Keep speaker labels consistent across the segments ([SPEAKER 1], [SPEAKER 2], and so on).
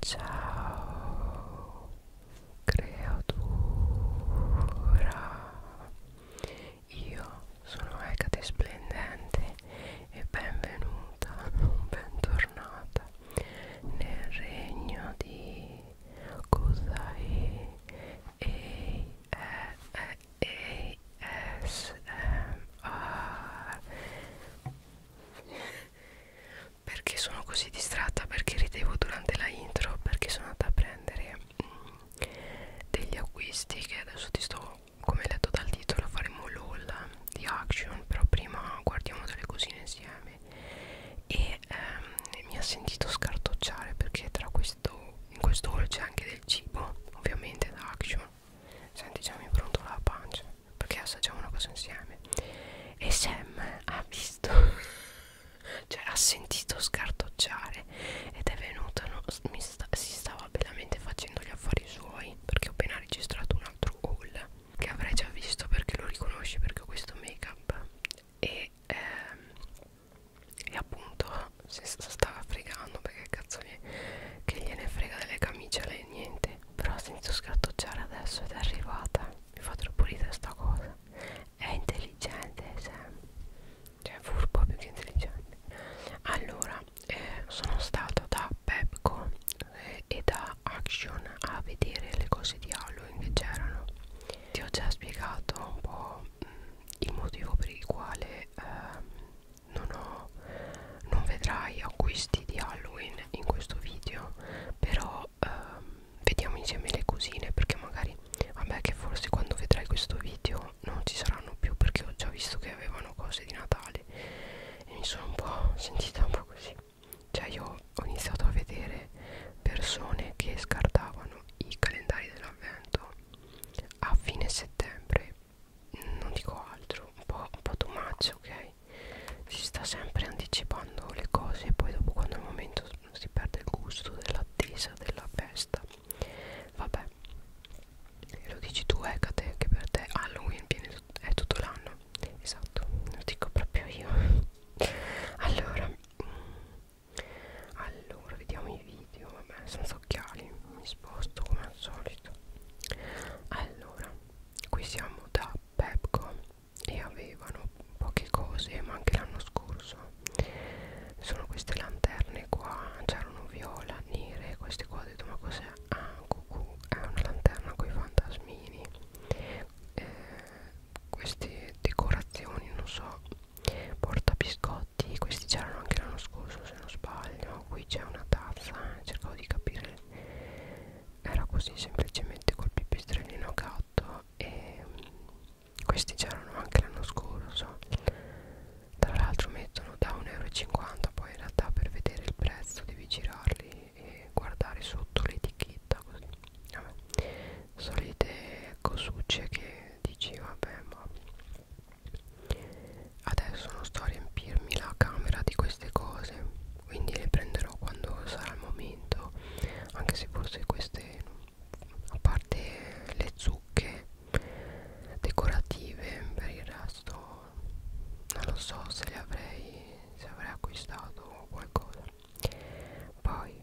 [SPEAKER 1] Ciao creatura, io sono Ecate Splendente e benvenuta, bentornata nel regno di Kusai e e ASMR perché sono così distratta perché ridevo durante la intro perché sono andata a prendere mm, degli acquisti che adesso ti sto come letto dal titolo faremo l'all di action però prima guardiamo delle cosine insieme e ehm, mi ha sentito scartocciare perché tra questo in questo haul c'è anche del cibo ovviamente da action senti già mi pronto la pancia perché assaggiamo una cosa insieme e Sam ha visto cioè ha sentito scartocciare ed è venuta no, sta, si stava bellamente facendo gli affari suoi perché ho appena registrato un altro haul che avrei già visto perché lo riconosci perché ho questo make up e, ehm, e appunto si stava fregando perché cazzo gli, che gliene frega delle camicie a lei niente però senza scartocciare adesso ed è arrivata mi fa troppo ridere sta cosa è intelligente Sam cioè furbo più che intelligente allora eh, sono stato da Pepco eh, e da Action a vedere le cose di Halloween che c'erano ti ho già spiegato un po' mh, mm, il motivo per il quale eh, non ho non vedrai acquisti di Halloween in questo video però ehm, vediamo insieme le cosine perché magari vabbè che forse quando vedrai questo video non ci saranno più perché ho già visto che avevano cose di Natale e mi sono un po' sentita un po' così cioè io ho iniziato a vedere persone che scartavano i calendari dell'avvento a fine settembre non dico altro un po', un po too much ok si sta sempre anticipando le cose e poi dopo quando è il momento si perde il gusto dell'attesa della festa vabbè lo dici tu Ecate eh, che per te Halloween viene tut è tutto l'anno esatto lo dico proprio io allora allora vediamo i video vabbè senza occhiali mi sposto come al solito allora qui siamo da Pepco e avevano poche cose ma anche l'anno scorso sono queste lanterne qua c'erano viola, nere queste qua ho detto ma cos'è? ah cucù è una lanterna con i fantasmini eh, queste decorazioni non so porta biscotti questi c'erano anche l'anno scorso se non sbaglio qui c'è una tazza eh, cercavo di capire era così semplicemente col pipistrellino a gatto e mm, questi c'erano anche l'anno scorso tra l'altro mettono da 1,50 euro poi in realtà per vedere il prezzo devi girarli e guardare sotto l'etichetta così vabbè. solite cosucce che dici vabbè ma adesso non sto a riempirmi la camera di queste cose quindi le prenderò quando sarà il momento anche se forse queste a parte le zucche decorative per il resto non lo so se le avrei se avrei acquistato qualcosa poi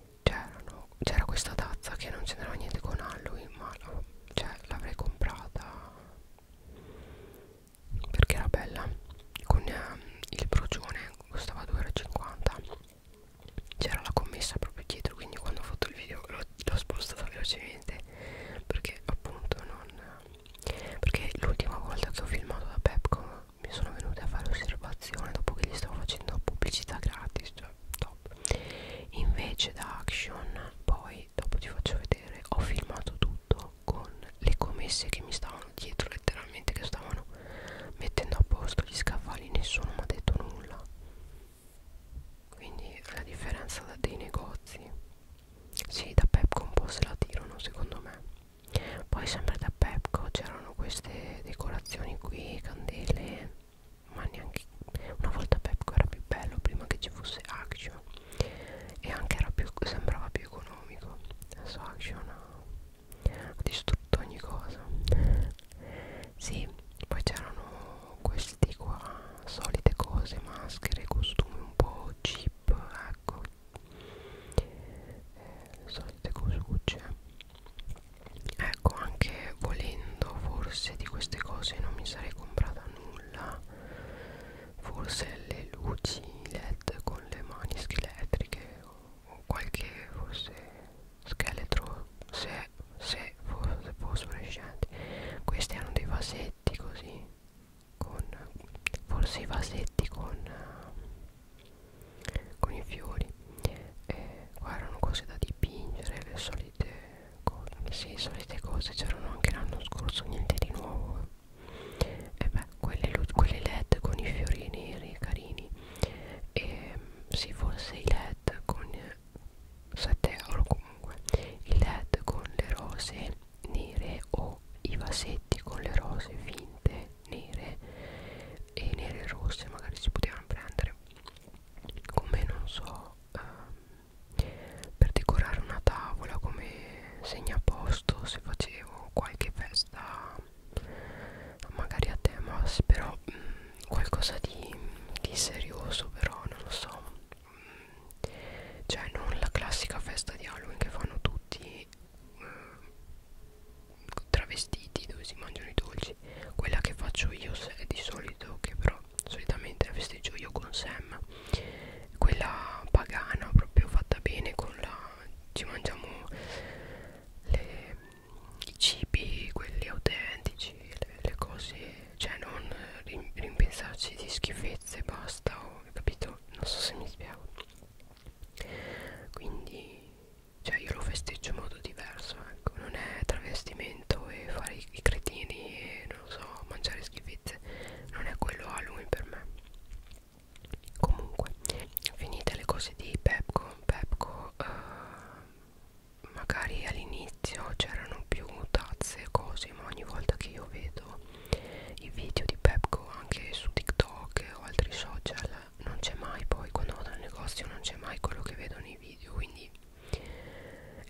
[SPEAKER 1] c'era questa tazza che non c'entrava niente con Halloween ma l'avrei la, cioè, comprata perché era bella con ehm, il brucione costava 2,50 euro c'era la commessa proprio dietro quindi quando ho fatto il video l'ho spostata velocemente perché appunto non perché l'ultima volta che ho filmato da Pepco mi sono venute a fare osservazione dopo che gli stavo facendo pubblicità gratis cioè top invece da Action poi dopo ti faccio vedere ho filmato tutto tutto con le commesse che mi stavano dietro letteralmente che stavano mettendo a posto gli scaffali nessuno mi ha detto nulla quindi la differenza dei negozi sì da Pepco un po' se la tirano secondo me poi sempre da Pepco c'erano queste decorazioni qui candele ma neanche una volta Pepco era più bello prima che ci fosse Action e anche era più, sembrava più economico astronomico adesso Action ha, ha distrutto ogni cosa sì poi c'erano questi qua solite cose maschere costumi un po' cheap ecco eh, solite cosucce ecco anche volendo forse di queste cose non mi sarei comprata nulla forse le luci led con le mani scheletriche o qualche forse scheletro se, se fosse fosforescenti questi hanno dei vasetti così con forse i vasetti con con i fiori e qua erano cose da dipingere le solite cose sì, solite cose c'erano anche l'anno scorso niente di nuovo e beh, quelle, quelle led con i fiori neri carini e sì forse i led con 7 euro comunque i led con le rose nere o i vasetti con le rose finte nere e nere rosse magari si potevano prendere come non so ehm, per decorare una tavola come segnaposto se facevo qualche festa magari a tema però mh, mm, qualcosa di, di serioso però non lo so mh, mm, cioè non la classica festa di Halloween che fanno tutti mh, mm, travestiti dove si mangiano i dolci quella che faccio io se, di solito che però solitamente la festeggio io con Sam quella pagana proprio fatta bene con la ci mangiamo le, i cibi, quelli autentici, le, le cose, cioè non rim, rimpensarci di schifezze, basta, ho capito? Non so se mi spiego. Quindi, cioè io lo festeggio in modo diverso, ecco, non è travestimento e fare i, i cretini e non so, mangiare schifezze, non è quello Halloween per me comunque finite le cose di Pepco Pepco eh, magari all'inizio c'erano più tazze e cose ma ogni volta che io vedo i video di Pepco anche su TikTok o altri social non c'è mai poi quando vado al negozio non c'è mai quello che vedo nei video quindi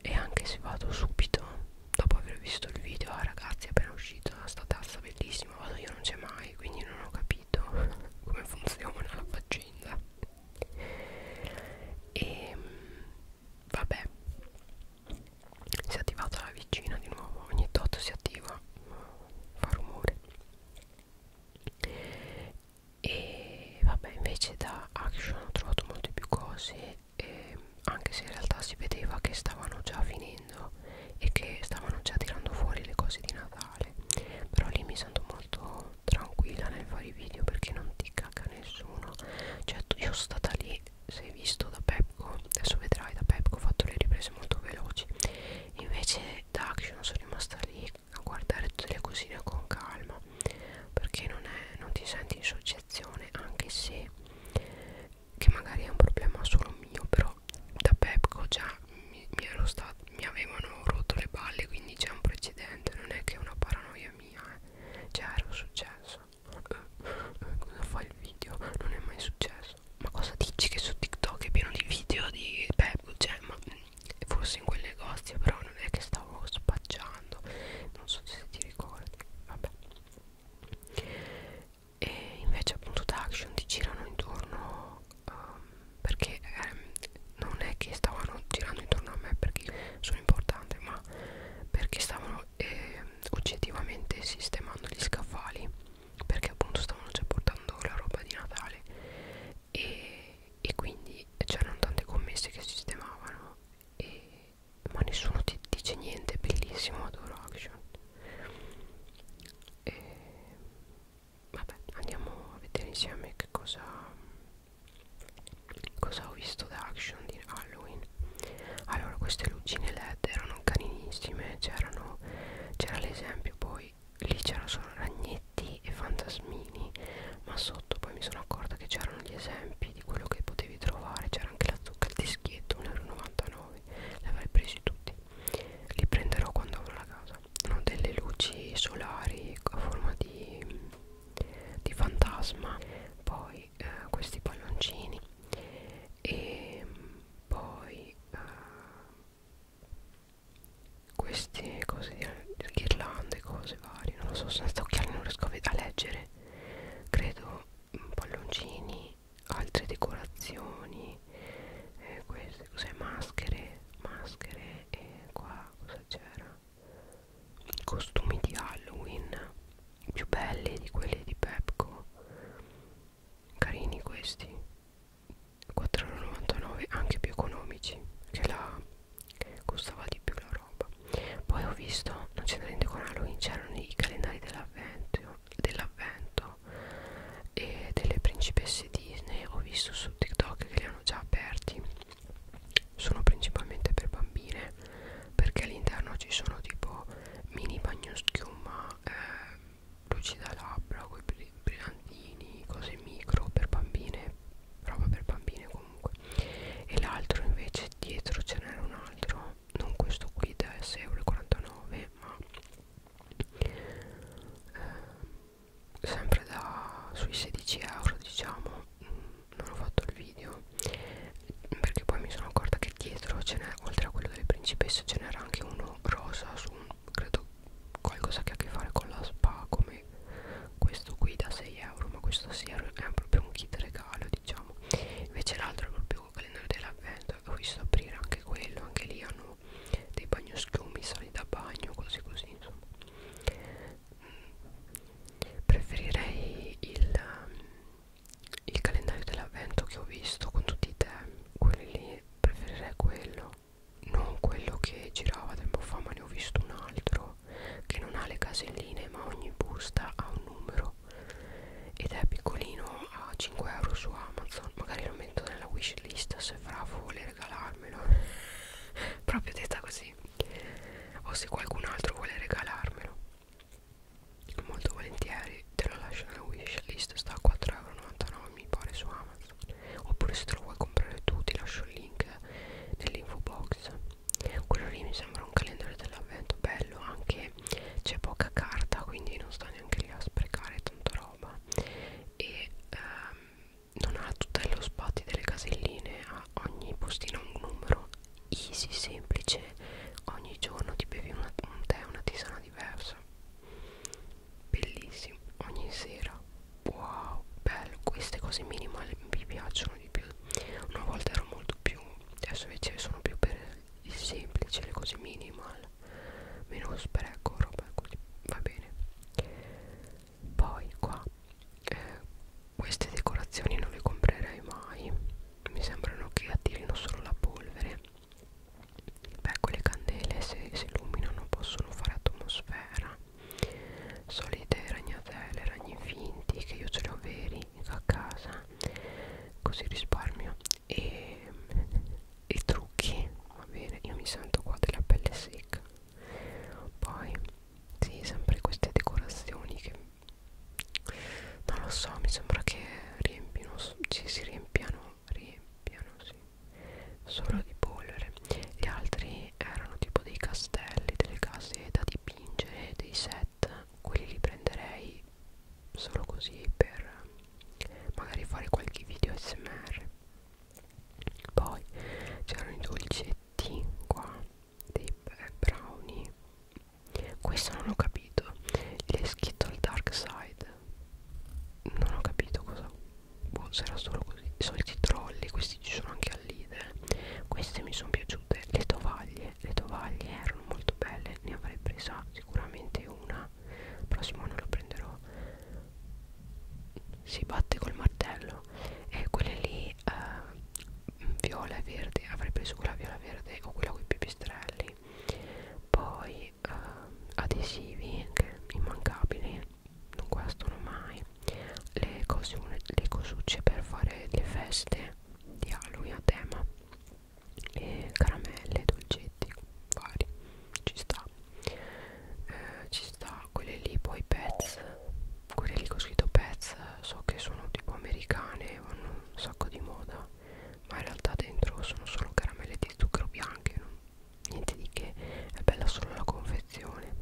[SPEAKER 1] e anche se vado subito dopo aver visto il video ah ragazzi è appena uscita sta tazza bellissima prima vado ah, io non c'è mai quindi non ho capito come funziona la faccenda e ehm, vabbè si è attivata la vicina di nuovo ogni tot si attiva fa rumore e vabbè invece da action ho trovato molte più cose eh, anche se in realtà si vedeva che stavano già finendo facendo e che stavano già tirando fuori le cose di Natale però lì mi sento molto tranquilla nel fare i video perché non ti caga nessuno cioè io sono stata lì se hai visto da Pepco adesso vedrai da Pepco ho fatto le riprese molto veloci invece da Action sono rimasta lì a guardare tutte le cosine con calma perché non, è, non ti senti in soggezione anche se che magari è un problema solo mio però da Pepco già mi, mi, ero stato, mi avevano rotto le balle quindi c'è un precedente non è che è una paranoia mia eh. già cioè, era successo eh, cosa fa il video non è mai successo ma cosa dici che su TikTok è pieno di video di Pepco cioè ma mm, forse in quel negozio però non è che stavo spacciando non so se ti ricordi vabbè e invece appunto da action ti girano intorno um, perché eh, non è che stavano girando intorno a me perché sono importante ma perché stavano eh, oggettivamente sistemando gli scaffali perché appunto stavano già portando la roba di Natale e, e quindi c'erano tante commesse che sistemavano e, ma nessuno ti dice niente bellissimo adoro action e vabbè andiamo a vedere insieme che cosa cosa ho visto da action di Halloween allora queste lucine led erano carinissime c'erano c'era l'esempio poi lì c'erano solo ragnetti e fantasmini ma sotto poi mi sono accorta che c'erano gli esempi di quello che potevi trovare c'era anche la zucca al dischetto 1,99 euro l'avrei presi tutti li prenderò quando avrò la casa hanno delle luci solari a forma di, di fantasma poi eh, questi palloncini e poi eh, queste cose di ghirlande cose varie non lo so senza occhiali non riesco a, a leggere credo mm, palloncini altre decorazioni eh, queste cos'è maschere maschere e qua cosa c'era costumi di halloween più belli di quelli di pepco carini questi 4,99 anche più economici che la costava di più la roba poi ho visto non c'è niente con halloween c'erano i calendari dell'avvento dell'avvento no e delle principesse Disney ho visto su TikTok che li hanno già aperti sono principalmente per bambine perché all'interno ci sono tipo mini bagno schiuma eh, luci da labbra con i brillantini cose micro per bambine roba per bambine comunque e l'altro invece dietro ce n'era un altro non questo qui da 6,49€ ma eh, sempre da sui 16 euro diciamo mm, non ho fatto il video perché poi mi sono accorta che dietro ce n'è oltre a quello delle principesse ce n'era anche uno rosa su un, credo qualcosa che ha a che fare con la spa come questo qui da 6 euro ma questo sì è proprio un kit regalo diciamo invece l'altro è proprio classico calendario dell'avvento ho visto aprire anche quello anche lì hanno dei bagnoschiumi sali da bagno cose così insomma mm. preferirei il, um, il calendario dell'avvento che ho visto con tutti i temi quelli lì preferirei quello non quello che girava tempo fa ma ne ho visto un altro che non ha le caselline ma ogni busta ha un numero ed è piccolino a 5 euro su Amazon magari lo metto nella wishlist se Fravo vuole regalarmelo proprio detta così o se qualcun altro vuole regalarmelo molto volentieri te lo lascio nella wishlist sta a 4,99€ mi pare su Amazon oppure se te lo vuoi comprare tu ti lascio il link nell'info box quello lì mi sembra un calendario dell'avvento bello anche vabbè c'è poca carta quindi non sto neanche lì a sprecare tanta roba e ehm, non ha tutte lo spot delle caselline a ogni postino un numero easy semplice ogni giorno ti bevi una, un tè una tisana diversa bellissimo ogni sera wow bello queste cose minimali mi piacciono di più una volta ero molto più adesso invece sono più per il semplice le cose minimal meno spreco, roba così, va bene poi qua eh, queste decorazioni non le comprerei mai mi sembrano che attirino solo la polvere beh quelle candele se si illuminano possono fare atmosfera solite ragnatele, ragni finti che io ce li ho veri a casa così risparmio e, e trucchi va bene io mi sento qua della pelle secca poi sì sempre queste decorazioni che non lo so mi sembra che riempino ci si riempiano riempiano sì solo di polvere gli altri erano tipo dei castelli delle case da dipingere dei set quelli li prenderei solo così per eh, magari fare qualche video smr poi c'erano i dolcetti qua dei eh, brownie questo non ho capito gli è scritto al dark side non ho capito cosa boh, sarà solo così i soliti trolli questi ci sono anche al leader queste mi sono piaciute le tovaglie le tovaglie erano molto belle ne avrei presa sicuramente una il prossimo anno lo prenderò si batte col martello e quelle lì eh, viola e verde avrei preso quella viola verde o quella con i pipistrelli poi eh, adesivi che immancabili non guastano mai le, cosune, le cosucce per fare le feste di Halloween a tema e caramelle, dolcetti vari, ci sta eh, ci sta quelle lì poi pets quelle lì che ho scritto pets so che sono tipo americane vanno un sacco di moda ma in realtà dentro sono solo caramelle di zucchero bianche no? niente di che è bella solo la confezione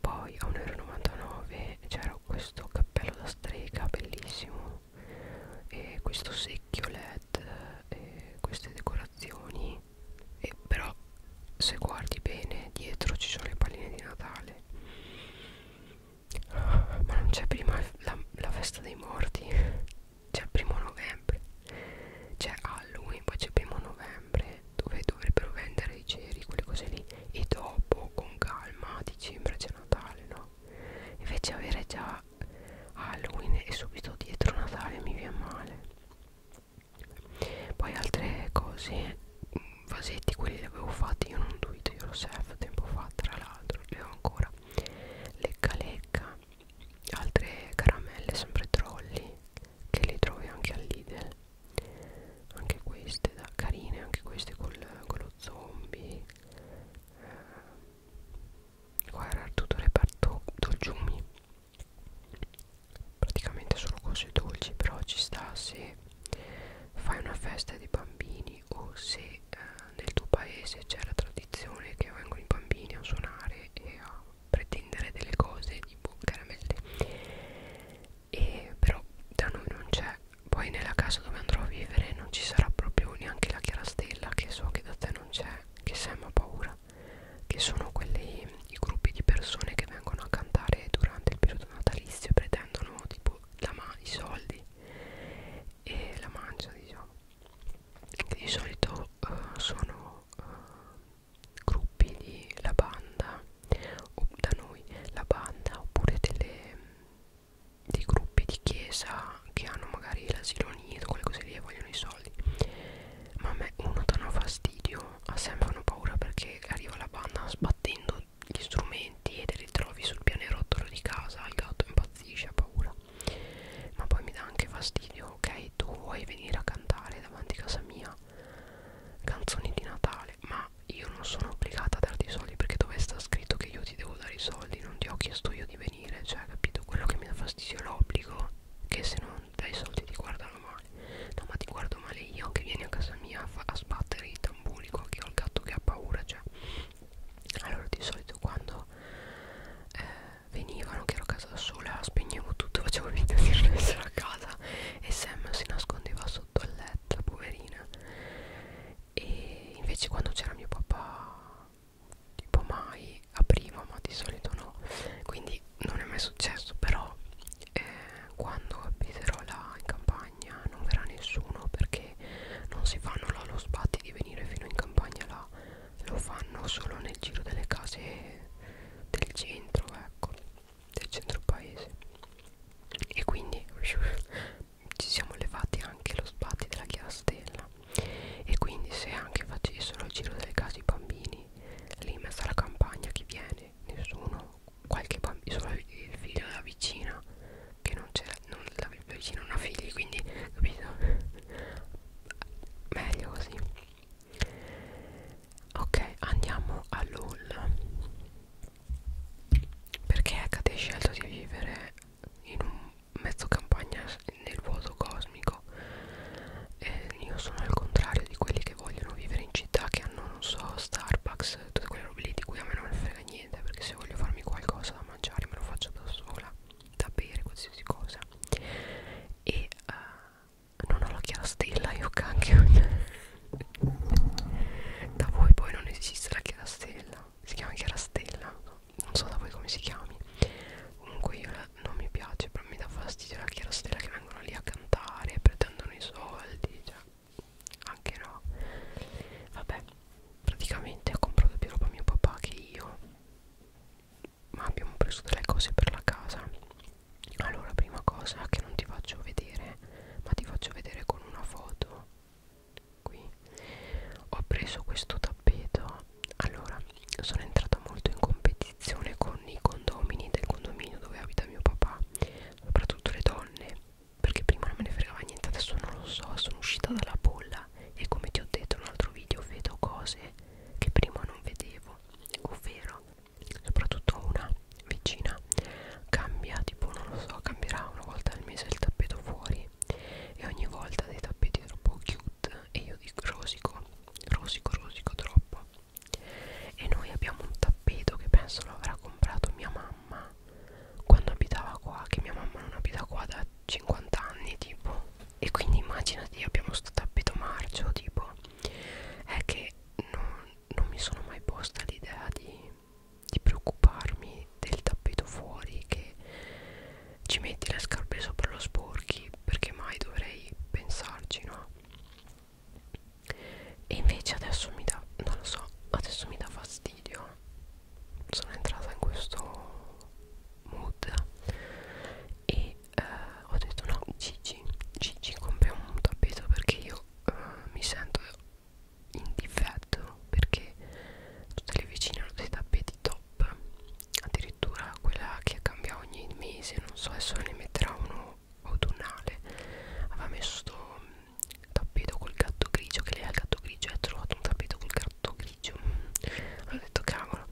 [SPEAKER 1] poi a 1,99 euro c'era questo cappello da strega bellissimo bello e questo secchio led e queste decorazioni e però se guardi bene dietro ci sono le palline di Natale ah, ma non c'è prima la, la festa dei morti c'è il primo novembre c'è Halloween poi c'è il primo novembre dove dovrebbero vendere i ceri quelle cose lì e dopo con calma a dicembre c'è Natale no invece avere già Halloween e subito dietro Natale mi viene male poi altre cose vasetti quelli li avevo fatti io non duito io lo self tempo fa tra l'altro li ho ancora lecca lecca altre caramelle sempre trolli che le trovi anche al Lidl anche queste da carine anche queste col, con lo lo zombie eh, qua era tutto il reparto dolciumi praticamente solo cose dolci però ci sta se fai una festa di bambini o se eh, nel tuo paese c'è la tradizione che vengono i bambini a suonare e a pretendere delle cose tipo caramelle e però da noi non c'è poi nella casa dove andrò a vivere non ci sarà proprio neanche la chiarastella che so che da te non c'è, che Sam ha paura, che sono quelli i gruppi di persone che vengono a cantare durante il periodo natalizio e pretendono tipo la i soldi e la mancia diciamo. Che di solito uh, sono uh, gruppi di la banda o da noi la banda oppure delle dei gruppi di chiesa che hanno magari l'asilo nido, quelle cose lì e vogliono i soldi. Ma a me uno danno fastidio, a Sam fanno paura perché arriva la banda sbattendo gli strumenti e te li trovi sul pianerottolo di casa, il gatto impazzisce, ha paura. Ma poi mi dà anche fastidio, ok, tu vuoi venire a cantare davanti a casa mia canzoni di Natale, ma io non sono obbligata a darti i soldi perché dove sta scritto che io ti devo devo dare i soldi non ti ho chiesto io di venire cioè capito quello che mi dà fastidio è l'obbligo che se non dai i soldi ti guardano male no ma ti guardo male io che vieni a casa mia a, a sbattere i tamburi qua che ho il gatto che ha paura cioè allora di solito quando eh, venivano che ero a casa da sola spegnevo tutto facevo finta di non essere a casa e Sam si nascondeva sotto il letto poverina e invece quando c'era mio papà tipo mai apriva ma di solito no quindi non è mai successo però eh, quando abiterò là in campagna non verrà nessuno perché non si fanno là lo sbatti di venire fino in campagna là lo fanno solo nel giro delle case del centro ecco del centro paese e quindi ci siamo levati anche lo sbatti della chiarastella e quindi se anche facessero il giro delle case i bambini lì in mezzo alla campagna chi viene? nessuno qualche bambino solo il figlio della vicina che non c'era non la vicina non ha figli quindi capito meglio così ok andiamo all'all perché Kate ha scelto di vivere in un mezzo campagna nel vuoto cosmico e io sono il contrario di quelli che vogliono vivere in città che hanno non so Starbucks tutte quelle robe lì di cui a me non mi frega niente perché se voglio farmi qualcosa da mangiare me lo faccio da sola da bere qualsiasi cosa e uh, non ho la chiara stella io cacchio da voi poi non esiste la chiara stella si chiama Chiara Stella non so da voi come si chiami comunque io la, non mi piace però mi dà fastidio la Chiara Stella che vengono lì a cantare pretendono i soldi cioè anche no vabbè praticamente ho comprato più roba mio papà che io ma abbiamo preso delle cose per la casa allora prima cosa che non ti faccio vedere ma ti faccio vedere con una foto qui ho preso questo tappeto allora sono entrata molto in competizione con i condomini del condominio dove abita mio papà soprattutto le donne perché prima non me ne fregava niente adesso non lo so sono uscita dalla bolla e come ti ho detto in un altro video vedo cose che prima non vedevo ovvero soprattutto una vicina cambia tipo non lo so cambierà una volta al mese il tappeto fuori lei e ogni volta dei tappeti troppo cute e io dico rosico, rosico, rosico troppo e noi abbiamo un tappeto che penso lo avrà comprato mia mamma quando abitava qua, che mia mamma non abita qua da 50 anni tipo e quindi immaginati abbiamo questo tappeto marcio tipo è che non, non mi sono mai posta l'idea di di preoccuparmi del tappeto fuori che ci metti le scarpe sopra lo sporchi perché mai dovrei pensarci no e invece adesso mi dà non lo so adesso mi dà fastidio sono entrata in questo mood e eh, ho detto no Gigi Gigi compri un tappeto perché io eh, mi sento in difetto perché tutte le vicine hanno dei tappeti top addirittura quella che cambia ogni mese non so adesso ne metterà uno autunnale aveva messo sto mm, tappeto col gatto grigio che lei ha il gatto grigio e ha trovato un tappeto col gatto grigio mm, ho detto cavolo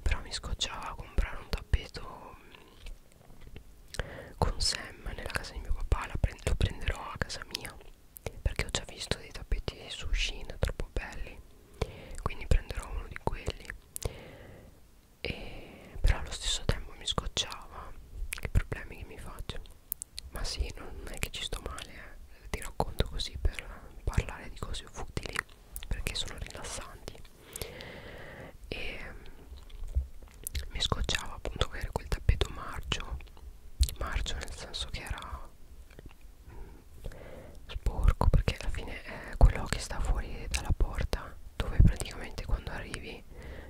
[SPEAKER 1] però mi scocciava comprare un tappeto mm, con Sam nella casa di mio papà la prend lo prenderò a casa mia perché ho già visto dei tappeti sushin troppo belli quindi prenderò uno di quelli e però allo stesso tempo mi scocciava che problemi che mi faccio ma sì non è che ci sto male eh. ti racconto così per parlare di cose futili perché sono rilassanti e mi scocciava appunto avere quel tappeto marcio marcio nel senso che era sporco perché alla fine è eh, quello che sta fuori dalla porta dove praticamente quando arrivi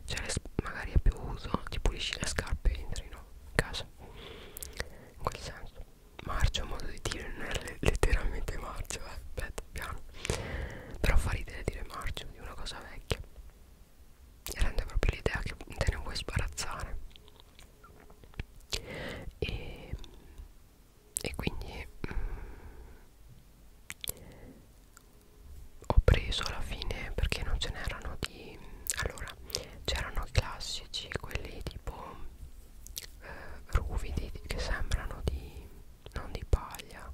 [SPEAKER 1] cioè le, magari è più uso ti pulisci le scarpe e entri no in casa in quel senso marcio modo di dire non è letteralmente marcio eh, aspetta piano però fa ridere dire marcio di una cosa vecchia e rende proprio l'idea che te ne vuoi sbarazzare e, e quindi mh, mm, ho preso alla fine perché non ce n'erano di allora c'erano i classici quelli tipo eh, ruvidi che sembrano di non di paglia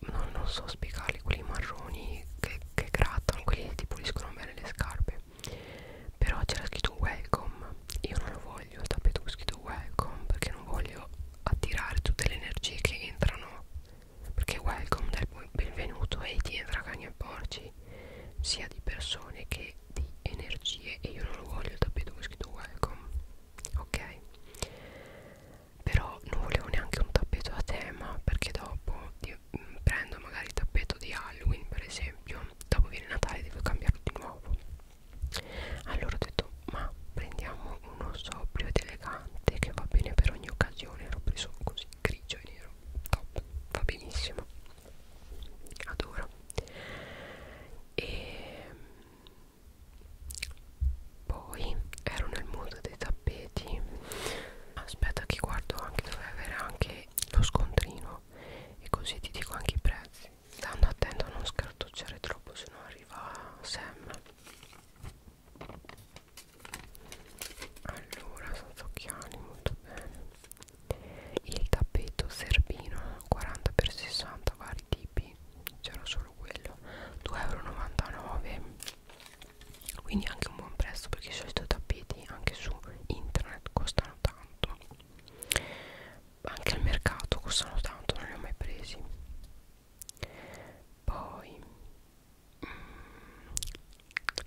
[SPEAKER 1] non, non so spiegarli quelli marroni che, che grattano quelli che ti puliscono bene le scarpe però c'era scritto welcome io non lo voglio il tappeto con scritto welcome perché non voglio attirare tutte le energie che entrano perché welcome del benvenuto e ti entra cani e porci sia di persone che di energie e io non lo voglio il tappeto con scritto welcome ok però non volevo neanche un tappeto a tema perché dopo di quindi mh, prendo magari il tappeto di Halloween per esempio dopo viene Natale devo cambiarlo di nuovo allora ho detto ma prendiamo uno sobrio ed elegante che va bene per ogni occasione l'ho preso così grigio e nero top va benissimo adoro e poi ero nel mondo dei tappeti aspetta che guardo anche dovrei avere anche lo scontrino e così ti dico anche i prezzi stando attento a non scartocciare troppo se no arriva Sam allora senza occhiali molto bene il tappeto serbino 40x60 vari tipi c'era solo quello 2,99 euro quindi anche un buon prezzo perché i solito tappeti anche su internet costano tanto anche al mercato costano tanto non li ho mai presi poi mm,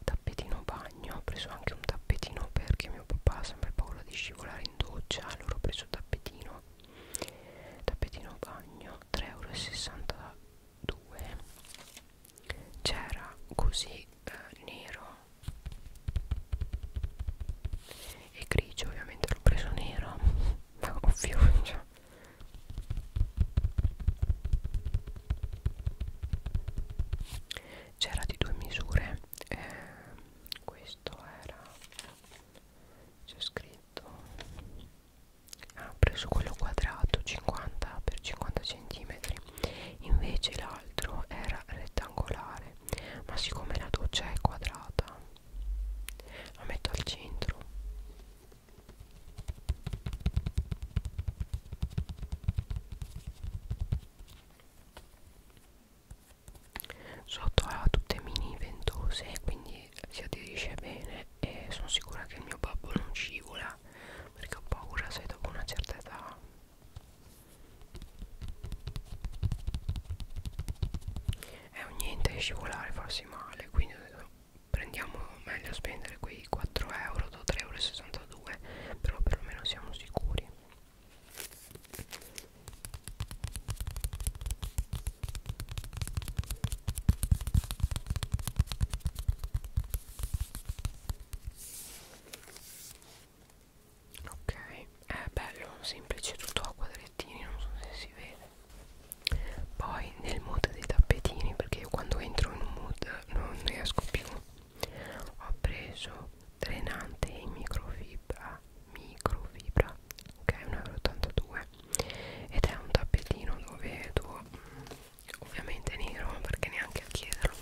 [SPEAKER 1] tappetino bagno ho preso anche un tappetino perché mio papà ha sempre paura di scivolare in doccia allora ho preso il tappetino tappetino bagno 3,60 euro 2 c'era così eh, nero e grigio ovviamente l'ho preso nero ma ovvio cioè. c'era di due misure eh, questo era c'è scritto ha ah, preso quello quadrato 50 x 50 cm invece l'altro era rettangolare ma siccome la doccia è quadrata la metto al centro sotto ha tutte mini ventose quindi si aderisce bene e sono sicura che il mio babbo non scivola perché ho paura se dopo una certa età è un niente scivolare farsi male quindi prendiamo meglio spendere quei 4 euro da 3,62 euro però perlomeno siamo sicuri ok è bello semplice tutto a quadrettini non so se si vede poi nel mood dei tappetini perché io quando entro in un mood non ne esco più ho preso drenante in microfibra microfibra ok 1,82 euro ed è un tappetino dove tu ovviamente nero ma perché neanche a chiederlo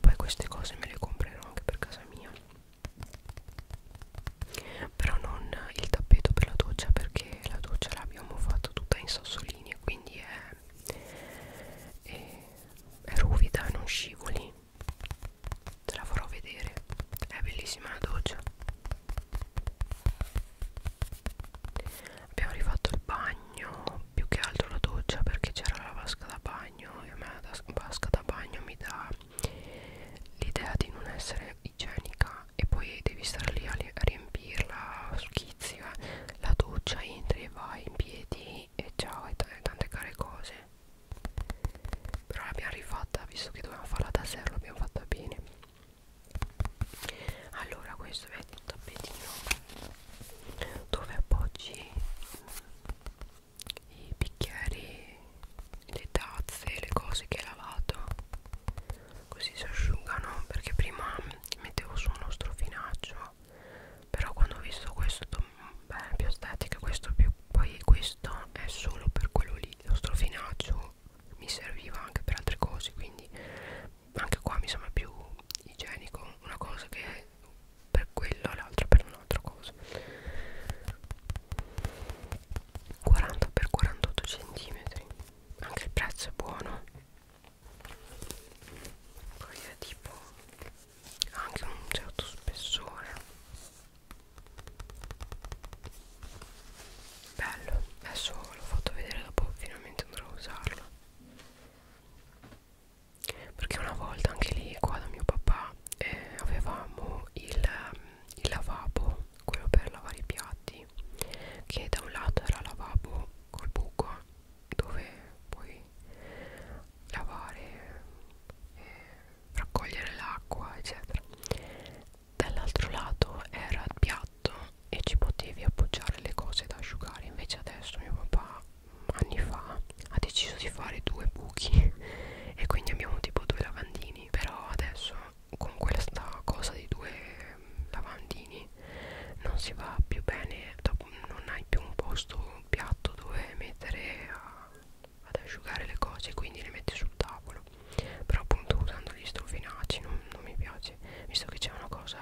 [SPEAKER 1] poi queste cose me le comprerò anche per casa mia però non il tappeto per la doccia perché la doccia l'abbiamo fatta tutta in sassolini quindi è, è, è ruvida non scivoli te la farò vedere è bellissima la doccia abbiamo rifatto il bagno più che altro la doccia perché c'era la vasca da bagno e a me la vasca da bagno mi dà l'idea di non essere igienica e poi devi stare lì a riempirla schizzi eh. la doccia entri e vai in piedi e ciao e tante care cose però l'abbiamo rifatta visto che dovevamo farla da zero l'abbiamo fatta bene allora questo è il tappettino dove appoggi mm, i bicchieri, le tazze, le cose che hai lavato così si asciugano perché prima mettevo su uno strofinaccio però quando ho visto questo mm, beh, è più estetica questo più poi questo è solo per quello lì lo strofinaccio mi serviva anche per altre cose quindi anche qua mi sembra più igienico una cosa che è per quello l'altra per un'altra cosa 40 x 48 cm anche il prezzo è buono poi è tipo anche un certo spessore bello adesso l'ho fatto vedere dopo finalmente andrò a usarlo perché una volta anche lì qua da mio papà eh, avevamo il, il lavabo quello per lavare i piatti che da un lato era lavabo col buco dove puoi lavare eh, raccogliere l'acqua eccetera dall'altro lato era piatto e ci potevi appoggiare le cose da asciugare invece adesso mio papà anni fa ha deciso di fare due buchi e quindi abbiamo tipo due lavandini però adesso con questa cosa di due lavandini non si va più bene dopo non hai più un posto un piatto dove mettere a, ad asciugare le cose quindi le metti sul tavolo però appunto usando gli strofinacci non, non mi piace visto che c'è una cosa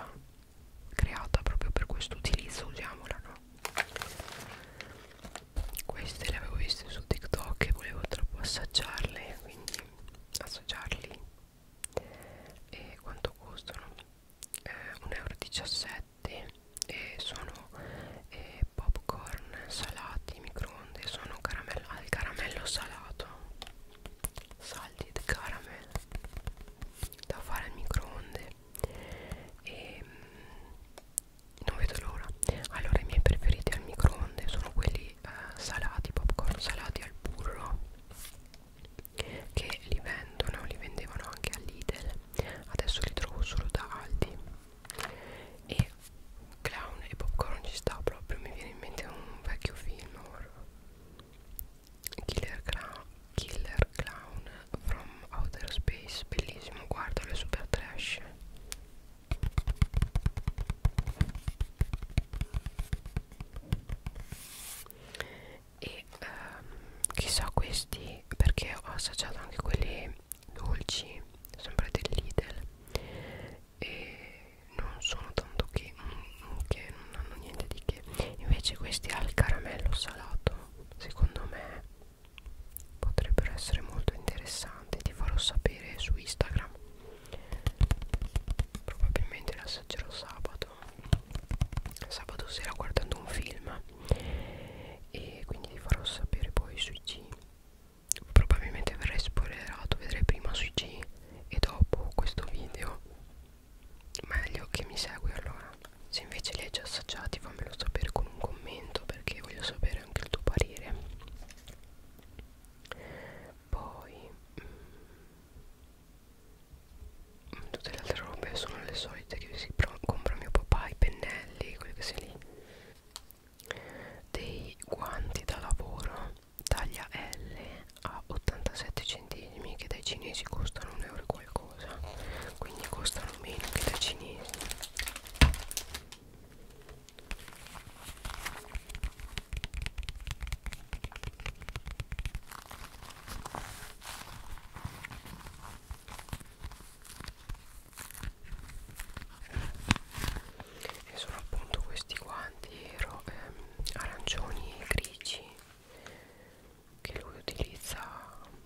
[SPEAKER 1] creata proprio per questo utilizzo usiamola no queste le avevo viste su TikTok e volevo troppo assaggiarle quindi assaggiarli e quanto costano eh, 1,17 euro e sono eh, popcorn salati microonde sono caramello al caramello salato salted caramel da fare al microonde e mm, non vedo l'ora allora i miei preferiti al microonde sono quelli eh, salati popcorn salati al burro che li vendono li vendevano anche all'Idel adesso li trovo solo da Aldi e clown e popcorn ci sta proprio mi viene in mente un vecchio film horror Killer, Killer Clown from Outer Space Bellissimo, guardalo, è super trash E ehm, chissà questi, perché ho assaggiato anche quelli dolci Sempre del Lidl e non sono tanto che un che non hanno niente di che invece questi al caramello salato secondo me potrebbero essere molto interessanti ti farò sapere su Instagram probabilmente li assaggerò sabato sabato sera guardando un film e quindi ti farò sapere poi sui G probabilmente verrai spoilerato vedrai prima sui G e dopo questo video meglio che mi segui allora se invece li hai già assaggiati fammelo sapere con un commento perché voglio sapere anche il tuo parere poi mh, mm, mm, tutte le altre robe sono le solite che si compra mio papà i pennelli quelli che si lì dei guanti da lavoro taglia L a 87 centesimi che dai cinesi costano un euro e qualcosa quindi costano meno che dai cinesi e sono appunto questi guanti ehm, arancioni e grigi che lui utilizza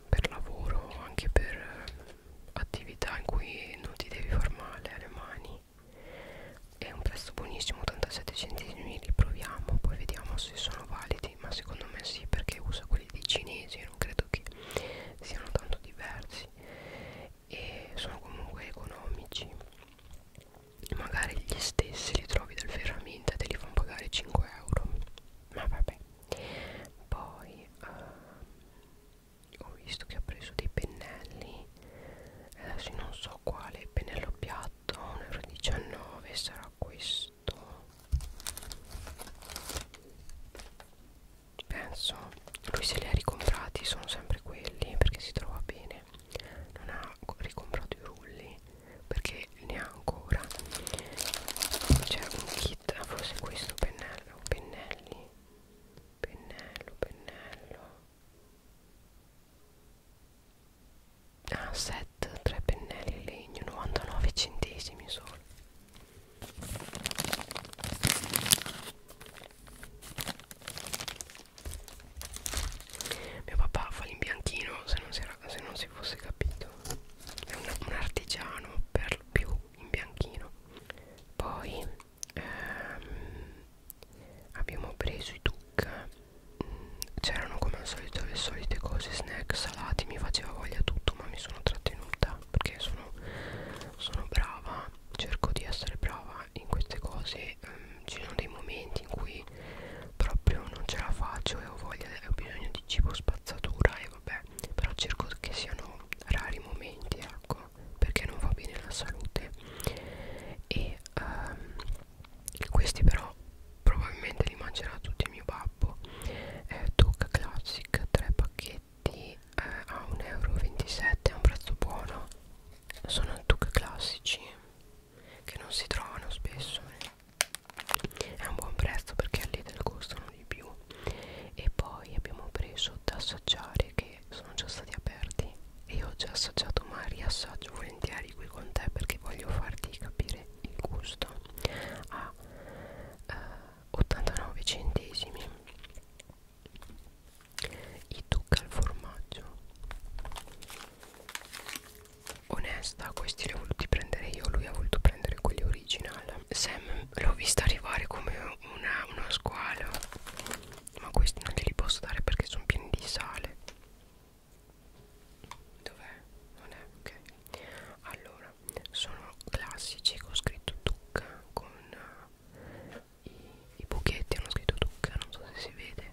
[SPEAKER 1] per lavoro anche per eh, attività in cui non ti devi far male alle mani è un prezzo buonissimo 87 centesimi li proviamo poi vediamo se sono validi ma secondo me sì perché usa quelli dei cinesi non credo che siano tanto diversi e sono comunque economici magari gli stessi li trovi dal Ferrami niente te li fanno pagare 5 euro ma vabbè poi uh, ho visto che ha preso dei pennelli adesso non so quale pennello piatto 1,19 euro sarà questo penso lui se li ha ricomprati sono sempre quelli perché si trova bene non ha ricomprato i rulli perché ne ha ancora c'è un kit forse questo pennello pennelli pennello pennello ah set 3 pennelli in legno 99 centesimi solo mio papà fa l'imbianchino se non si, era, se non si si fosse capito è un, un artigiano per lo più in bianchino poi ehm, abbiamo preso i tuc mm, c'erano come al solito le solite cose snack salati mi faceva voglia tutto ma mi sono trattenuta perché sono, sono brava cerco di essere brava in queste cose ehm, ci sono dei momenti in cui poi proprio non ce la faccio e ho voglia e ho bisogno di cibo spazzatura e vabbè però cerco che siano rari momenti ecco perché non va bene la salute e um, questi però probabilmente li mangerà tutti mio babbo eh, Duke Classic 3 pacchetti eh, a 1,27 euro è un prezzo buono sono Duke classici che non si trovano spesso eh è un buon prezzo perché a Lidl costano di più e poi abbiamo preso da assaggiare che sono già stati aperti e io ho già assaggiato ma riassaggio volentieri qui con te perché voglio farti capire il gusto a eh, 89 centesimi i tuc al formaggio onesta questi li ho voluti prendere io lui ha voluto prendere quelli original Sam l'ho vista arrivare come una, uno squalo ma questi non glieli posso dare perché sono pieni di sale dov'è? non è? ok allora sono classici con scritto tucca con uh, eh, i, i buchetti hanno scritto tucca non so se si vede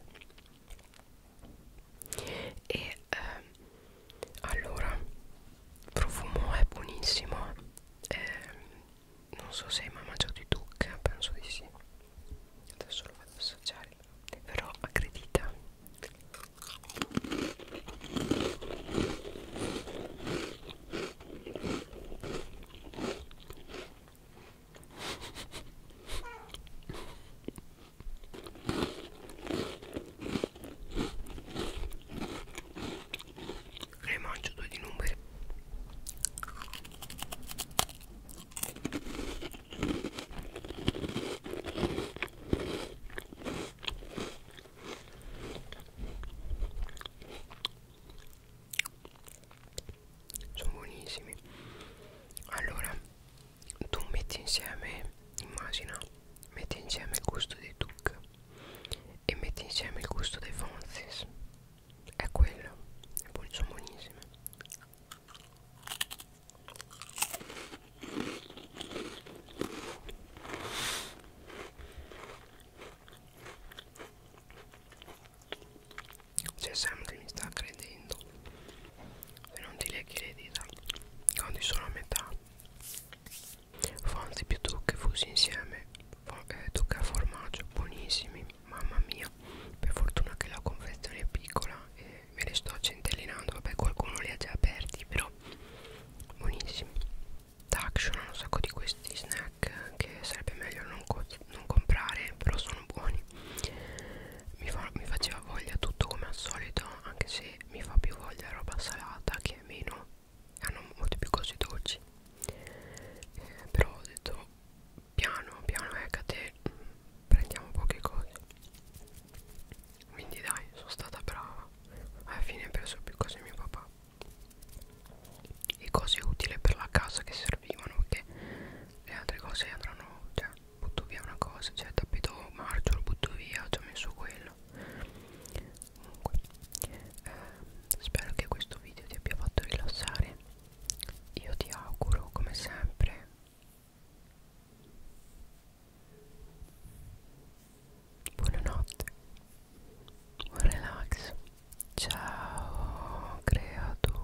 [SPEAKER 1] e eh, allora profumo è buonissimo eh, non so se hai mai mangiato i duck penso di sì adesso lo vado a assaggiare però accredita e mangio due di numeri sono buonissimi allora tu metti insieme immagina metti insieme il gusto dei Duke e metti insieme il gusto dei Fonzis è quello è buon, sono buonissime c'è Sam che mi sta credendo se non ti leghi le dita quando sono a metà fonzi più tucche fusi insieme eh, tucche a formaggio buonissimi mamma mia per fortuna che la confezione è piccola e me le sto centellinando vabbè qualcuno li ha già aperti però buonissimi Taction ha un sacco di questi snack che sarebbe meglio non, co non comprare però sono buoni mi, fa, mi faceva voglia tutto come al solito anche se mi fa più voglia roba salata che è meno hanno molte più cose dolci eh, però ho detto piano piano eccate eh, prendiamo poche cose quindi dai sono stata brava alla fine ho preso più cose mio papà e cose utili per la casa che servivano perché le altre cose andranno cioè butto via una cosa cioè tappeto marcio lo butto via ci ho messo quello comunque eh, spero che questo video ti abbia fatto rilassare io ti auguro come sempre buonanotte buon relax ciao creatura